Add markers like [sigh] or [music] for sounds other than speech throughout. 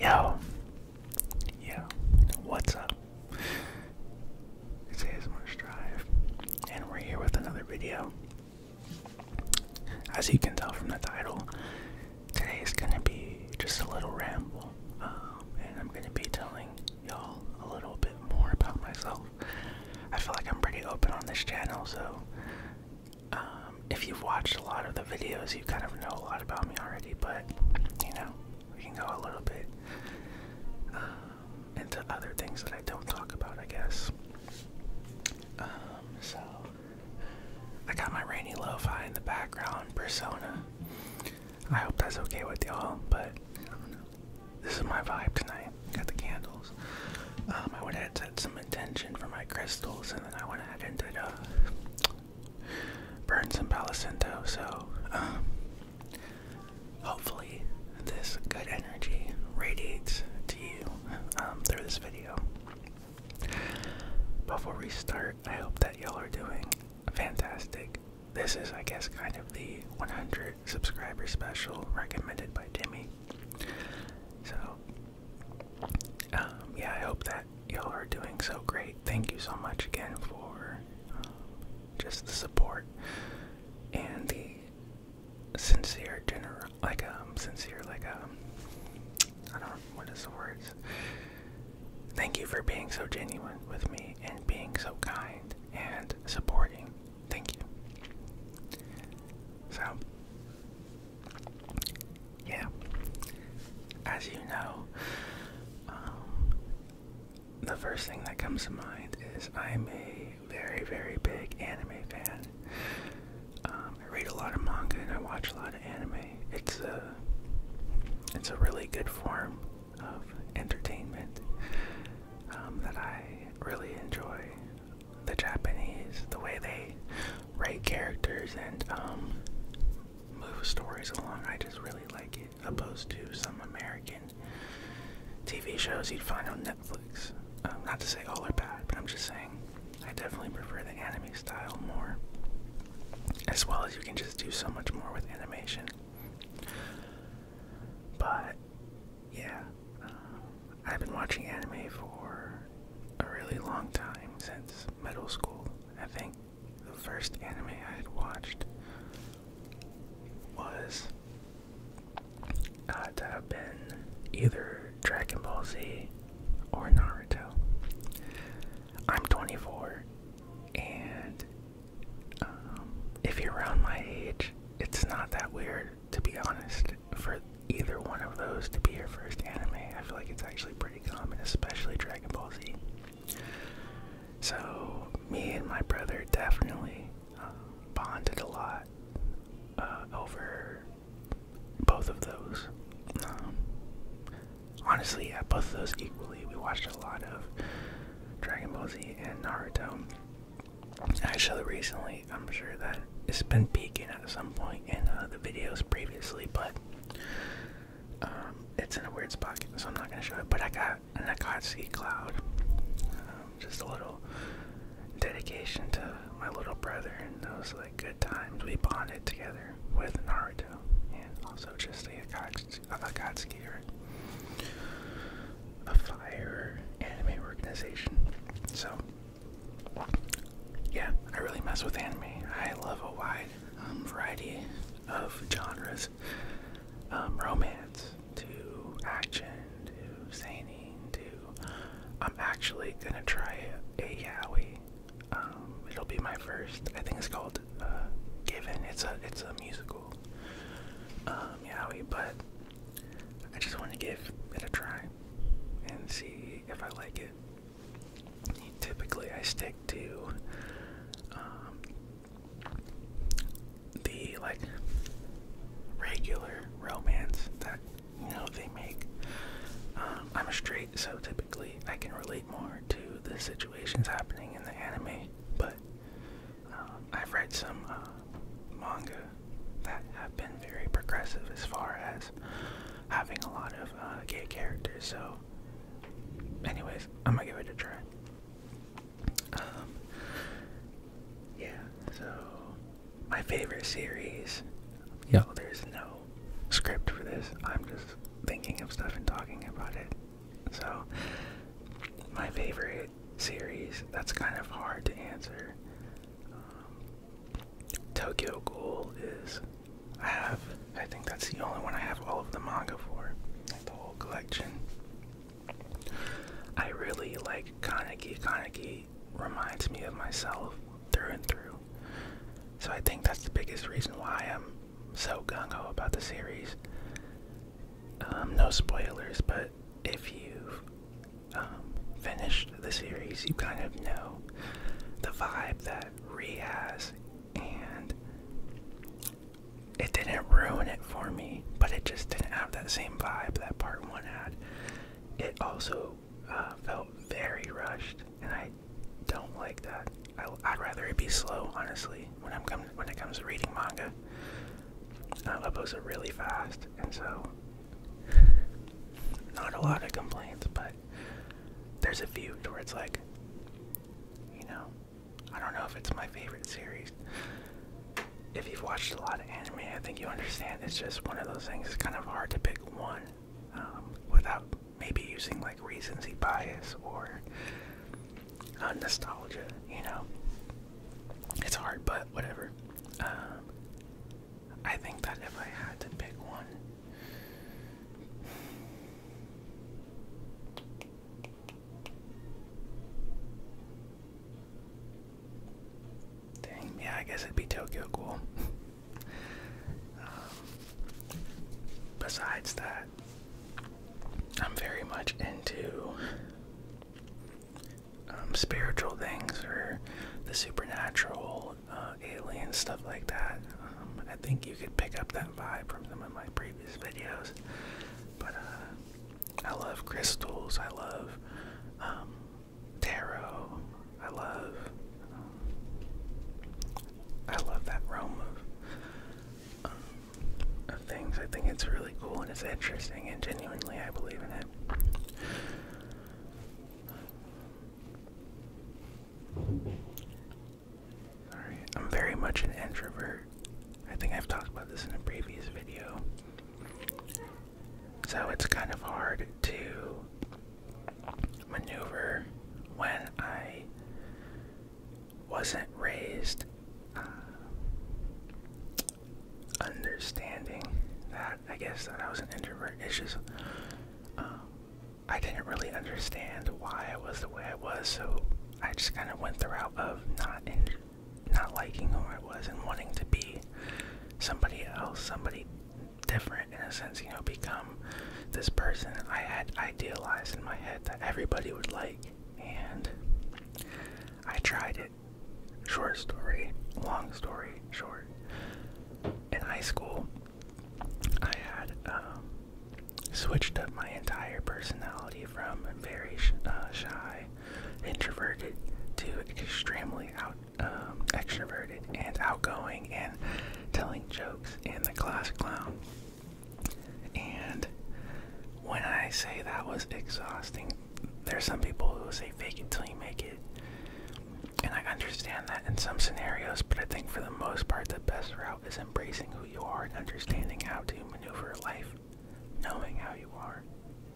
Yo, yo, what's up? It's ASMR Drive, and we're here with another video. As you can tell from the title, today is gonna be just a little ramble, um, and I'm gonna be telling y'all a little bit more about myself. I feel like I'm pretty open on this channel, so um, if you've watched a lot of the videos, you kind of know a lot about me already, but you know, we can go a little bit um, into other things that I don't talk about, I guess. Um, so, I got my rainy lofi in the background persona. I hope that's okay with y'all, but This is my vibe tonight. Got the candles. Um, I would add some intention for my crystals, and then I went ahead and did a uh, burn some palicinto. So um, hopefully, this good energy radiates to you um, through this video. Before we start, I hope that y'all are doing fantastic. This is, I guess, kind of the 100 subscriber special recommended by Timmy. So, um, yeah, I hope that y'all are doing so great. Thank you so much again for um, just the support and the sincere, dinner, like um, sincere, like um, I don't know what is the words. Thank you for being so genuine with me and being so kind and supporting. Thank you. So, yeah, as you know, um, the first thing that comes to mind is I'm a very, very big anime fan. Um, I read a lot of manga and I watch a lot of anime. It's a, it's a really good form of entertainment um, that I really enjoy the Japanese, the way they write characters and um, move stories along. I just really like it, opposed to some American TV shows you'd find on Netflix. Um, not to say all are bad, but I'm just saying I definitely prefer the anime style more. As well as you can just do so much more with animation. But yeah, um, I've been watching anime for a really long time, since middle school. I think the first anime I had watched was uh, to have been either Dragon Ball Z or Naruto. I'm 24, and um, if you're around my age, it's not that weird to be honest, for either one of those to be your first anime. I feel like it's actually pretty common, especially Dragon Ball Z. So, me and my brother definitely um, bonded a lot uh, over both of those. Um, honestly, at both of those equally. We watched a lot of Dragon Ball Z and Naruto. Actually, recently, I'm sure that it's been peaking at some point in uh, the videos previously, but um, it's in a weird spot, so I'm not gonna show it. But I got an Akatsuki cloud, um, just a little dedication to my little brother and those like good times we bonded together with Naruto, and also just the Akatsuki, uh, Akatsuki or a fire anime organization. So yeah, I really mess with anime. I love a wide um, variety of genres, um, romance to action to zany to. I'm actually gonna try a yaoi. Um, it'll be my first. I think it's called uh, Given. It's a it's a musical um, but I just want to give it a try and see if I like it. Typically, I stick to um, the like regular romance that you know they make. Um, I'm a straight, so typically I can relate more to the situations happening in the anime. But um, I've read some uh, manga that have been very progressive as far as having a lot of uh, gay characters. So, anyways, I'm gonna give it a try. Um, yeah. So, my favorite series. Yo, there's no script for this. I'm just thinking of stuff and talking about it. So, my favorite series? That's kind of hard to answer. Um, Tokyo Ghoul is. I have. I think that's the only one I have all of the manga for, like the whole collection. I really like Kaneki. Kaneki reminds me of myself through and through. So I think that's the biggest reason why I'm so gung ho about the series. Um, no spoilers, but if you um, finished the series, you kind of know the vibe that Ree has, and it didn't ruin it for me, but it just didn't have that same vibe that part one had. It also uh, felt very rushed, and I don't like that. I, would rather it be slow, honestly, when I'm when it comes to reading manga. I upload it really fast, and so not a lot of complaints, but there's a few to where it's like, you know, I don't know if it's my favorite series. If you've watched a lot of anime, I think you understand it's just one of those things. It's kind of hard to pick one um, without maybe using like recency bias or uh, nostalgia. You know, it's hard, but whatever. Um, I think that if I had to pick one, dang, yeah, I guess it'd be Tokyo Cool. [laughs] Um, besides that, I'm very much into um, spiritual things or the supernatural, uh, alien stuff like that. Um, I think you could pick up that vibe from some of my previous videos. But uh, I love crystals. I love um, tarot. I love. I love that realm of of things. I think it's really cool and it's interesting, and genuinely, I believe in it. Alright, I'm very much an introvert. I think I've talked about this in a previous video. So it's kind of hard to maneuver when I wasn't raised uh, understanding that I guess that I was an introvert. It's just um, I didn't really understand why I was the way I was, so I just kind of went the route of not not liking who I was and wanting to be somebody else, somebody different in a sense. You know, become this person I had idealized in my head that everybody would like, and I tried it. Short story, long story, short. In high school, I had um, switched up my entire personality from very uh, shy, introverted, to extremely um, extroverted and outgoing and telling jokes and the class clown. And when I say that was exhausting, there are some people who say fake it till you make it. And I understand that in some scenarios, but I think for the most part, the best route is embracing who you are and understanding how to maneuver life, knowing how you are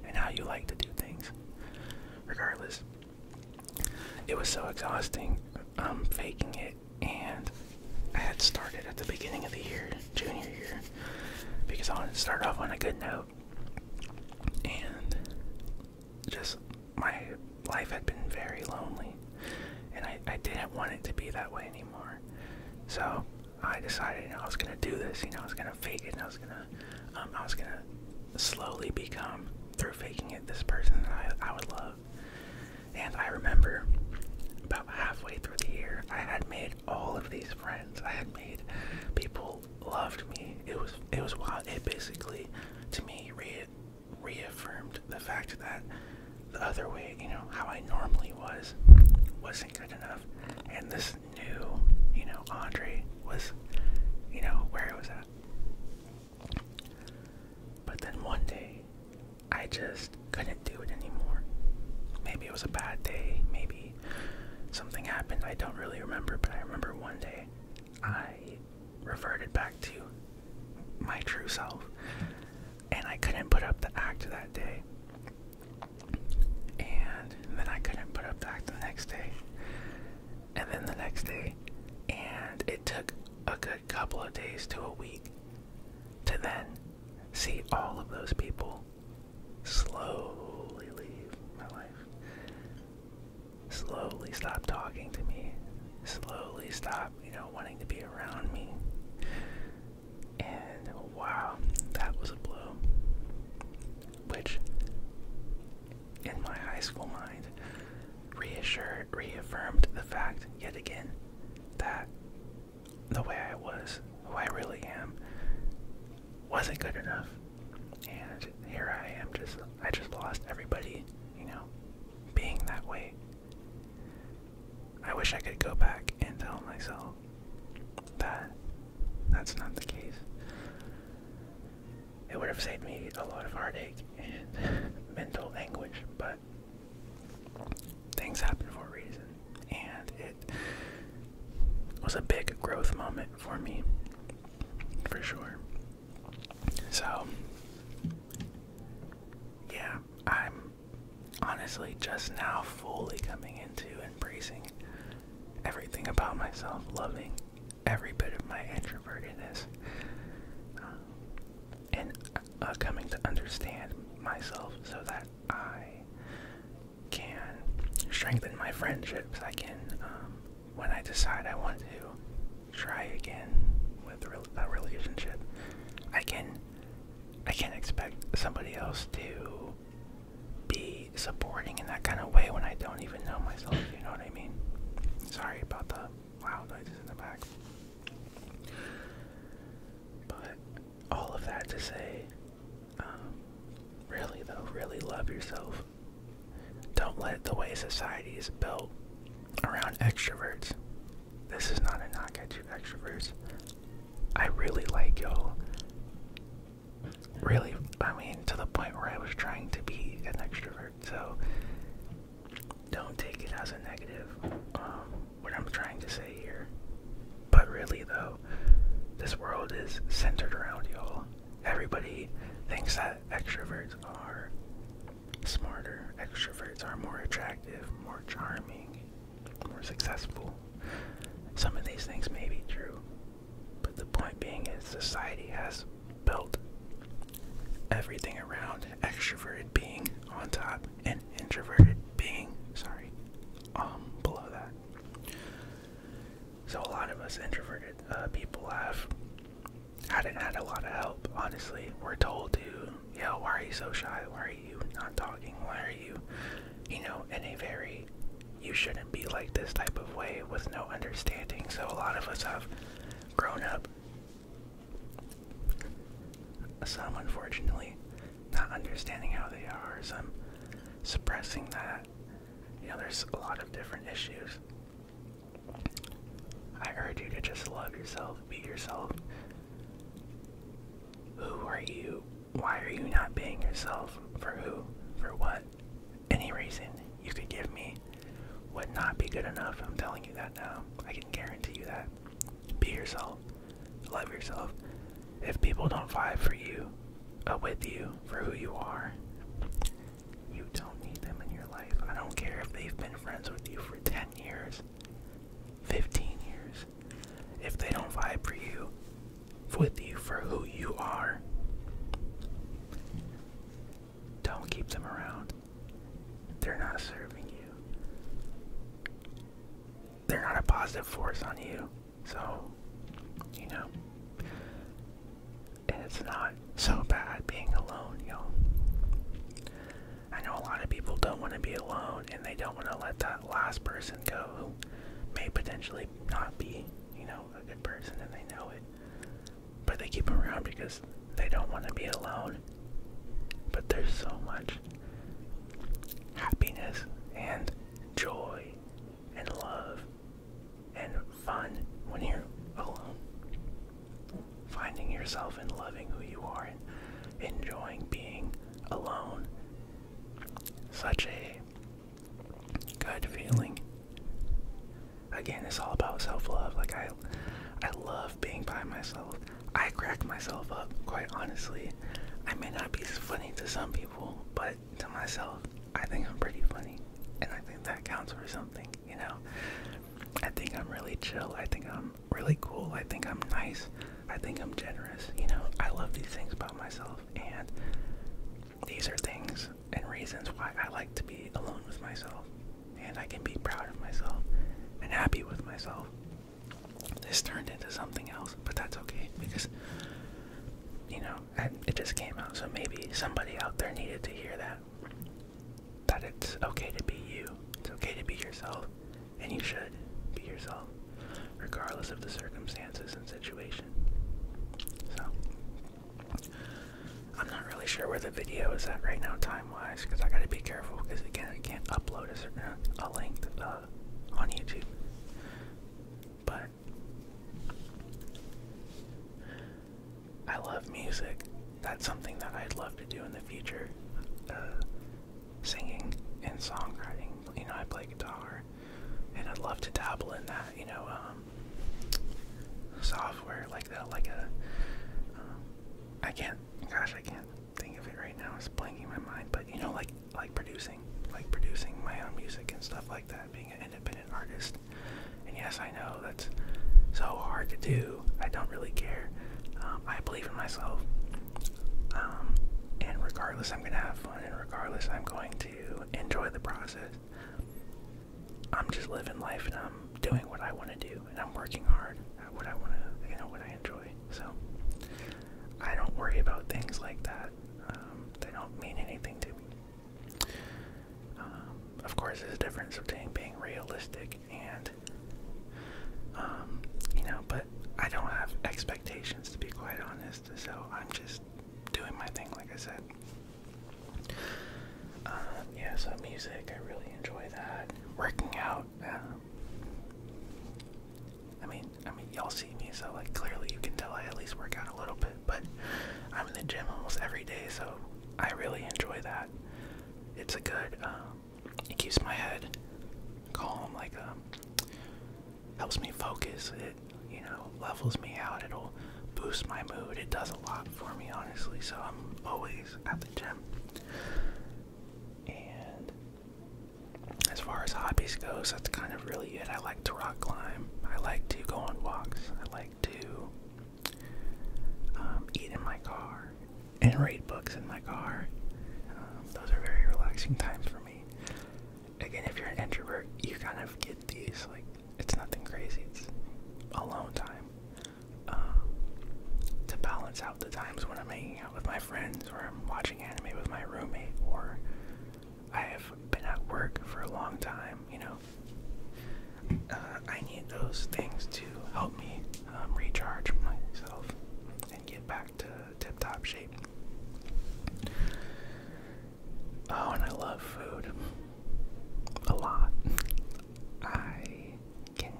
and how you like to do things. Regardless, it was so exhausting I'm um, faking it, and I had started at the beginning of the year, junior year, because I wanted to start off on a good note. And just my life had been very lonely, and I, I didn't want it to be that way anymore. So I decided I was gonna do this. You know, I was gonna fake it, and I was gonna, um, I was gonna slowly become through faking it this person that I, I would love. And I remember halfway through the year, I had made all of these friends. I had made people loved me. It was it was wild. It basically, to me, reaffirmed the fact that the other way, you know, how I normally was, wasn't good enough, and this new, you know, Andre was, you know, where I was at. But then one day, I just couldn't do it anymore. Maybe it was a bad day, maybe something happened, I don't really remember, but I remember one day I reverted back to my true self and I couldn't put up the act that day. And then I couldn't put up the act the next day. And then the next day. And it took a good couple of days to a week to then see all of those people slowly leave my life. Slowly stop talking to me. Slowly stop, you know, wanting to be around me. And wow, that was a blow. Which, in my high school mind, reassured, reaffirmed the fact yet again that the way I was, who I really am, wasn't good enough. And here I am, just I just lost everybody, you know, being that way. I wish I could go back and tell myself that that's not the case. It would have saved me a lot of heartache and [laughs] mental anguish, but things happen for a reason, and it was a big growth moment for me, for sure. So, yeah, I'm honestly just now fully coming into embracing everything about myself, loving every bit of my introvertedness. Um, and uh, coming to understand myself so that I can strengthen my friendships. I can, um, when I decide I want to try again with a relationship, I can, I can expect somebody else to be supporting in that kind of way when I don't even know myself. You know what I mean? Sorry about the loud noises in the back. But all of that to say, um, really though, really love yourself. Don't let the way society is built around extroverts. This is not a knock at you extroverts. I really like y'all. Really, I mean, to the point where I was trying to be an extrovert. So don't take it as a negative, um, what I'm trying to say here. But really, though, this world is centered around y'all. Everybody thinks that extroverts are smarter, extroverts are more attractive, more charming, more successful. Some of these things may be true, but the point being is society has built everything around extroverted being on top an introverted being. Sorry. Um, below that. So a lot of us introverted uh, people have hadn't had a lot of help. Honestly, we're told to, yo, why are you so shy? Why are you not talking? Why are you, you know, in a very you shouldn't be like this type of way with no understanding. So a lot of us have grown up some, unfortunately, not understanding how they are, some suppressing that. You know, there's a lot of different issues. I urge you to just love yourself, be yourself. Who are you? Why are you not being yourself? For who? For what? Any reason you could give me would not be good enough. I'm telling you that now. I can guarantee you that. Be yourself. Love yourself. If people don't vibe for you, uh, with you, for who you are, you don't need them in your life. I don't care if they've been friends with you for 10 years, 15 years. If they don't vibe for you, with you for who you are, don't keep them around. They're not serving you. They're not a positive force on you. So, you know, it's not so bad being alone, y'all. I know a lot of people don't want to be alone and they don't want to let that last person go who may potentially not be, you know, a good person and they know it but they keep them around because they don't want to be alone. But there's so much happiness and joy and love and fun when you're alone. Finding yourself and loving who you are and enjoying being alone. Such a good feeling again it's all about self-love like i i love being by myself i crack myself up quite honestly i may not be funny to some people but to myself i think i'm pretty funny and i think that counts for something you know i think i'm really chill i think i'm really cool i think i'm nice i think i'm generous you know i love these things about myself and these are things and reasons why i like to be alone with myself and I can be proud of myself and happy with myself. This turned into something else, but that's okay because you know it just came out. So maybe somebody out there needed to hear that that it's okay to be you. It's okay to be yourself, and you should be yourself, regardless of the circumstances and situation. So I'm not really sure where the video is at right now, time-wise, because I gotta be careful. Because again, I can't upload a certain a length uh, on YouTube. But I love music. That's something that I'd love to do in the future. Uh, singing and songwriting. You know, I play guitar, and I'd love to dabble in that. You know, um, software like that, like ai uh, can't. Gosh, I can't think of it right now. It's blanking my mind. But you know, like like producing, like producing my own music and stuff like that. Being an independent artist. And yes, I know that's so hard to do. I don't really care. Um, I believe in myself. Um, and regardless, I'm gonna have fun. And regardless, I'm going to enjoy the process. I'm just living life and I'm doing what I want to do and I'm working hard at what I want to, you know, what I enjoy. So I don't worry about things like that. Um, they don't mean anything to me. Um, of course, there's a difference between being realistic and, um, you know, but I don't have expectations to be quite honest. So I'm just doing my thing, like I said. Um, yeah, so music, I really enjoy that. Working out. Um, I mean, I mean, y'all see me, so like clearly you can tell I at least work out a little bit. But I'm in the gym almost every day, so I really enjoy that. It's a good. Um, it keeps my head calm. Like helps me focus. It you know levels me out. It'll boost my mood. It does not a lot for me, honestly, so I'm always at the gym. And as far as hobbies goes, that's kind of really it. I like to rock climb. I like to go on walks. I like to um, eat in my car and read books in my car. Um, those are very relaxing [laughs] times for me. Again, if you're an introvert, you kind of get these like it's nothing crazy. It's alone time um, to balance out the times when I'm hanging out with my friends or I'm watching anime with my roommate or I have been at work for a long time. You know, uh, I need those things to help me um, recharge myself and get back to tip-top shape. Oh, and I love food. A lot. I can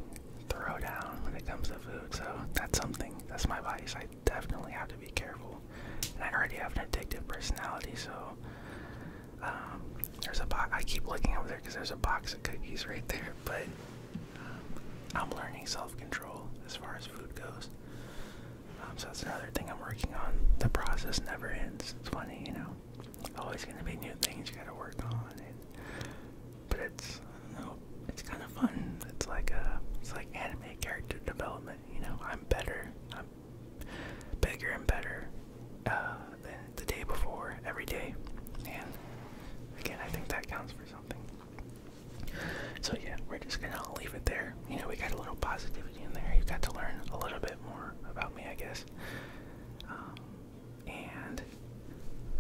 throw down when it comes to food, so that's something. That's my vice. I definitely have to be careful. I already have an addictive personality, so um, there's a box. I keep looking over there because there's a box of cookies right there, [laughs] but um, I'm learning self control as far as food goes. Um, so that's another thing I'm working on. The process never ends. It's funny, you know always gonna be new things you gotta work on, and, but it's you know, it's kind of fun. It's like a uh, it's like anime character development. You know, I'm better. I'm bigger and better uh, than the day before every day, and again, I think that counts for something. So yeah, we're just gonna leave it there. You know, we got a little positive in there. You have got to learn a little bit more about me, I guess. Um, and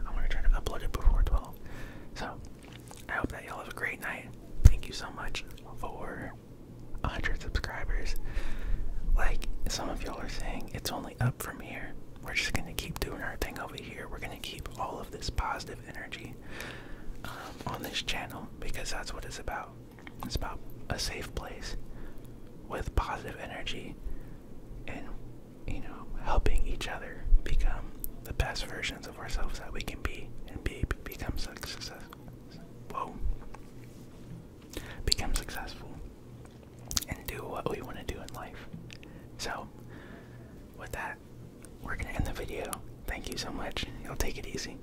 I'm gonna try to upload it before 12. So I hope that y'all have a great night. Thank you so much for 100 subscribers. Like some of y'all are saying, it's only up from here. We're just gonna keep doing our thing over here. We're gonna keep all of this positive energy um, on this channel because that's what it's about. It's about a safe place with positive energy and, you know, helping each other become the best versions of ourselves that we can be and be, become successful. Whoa. Become successful and do what we want to do in life. So, with that, we're going to end the video. Thank you so much. You'll take it easy.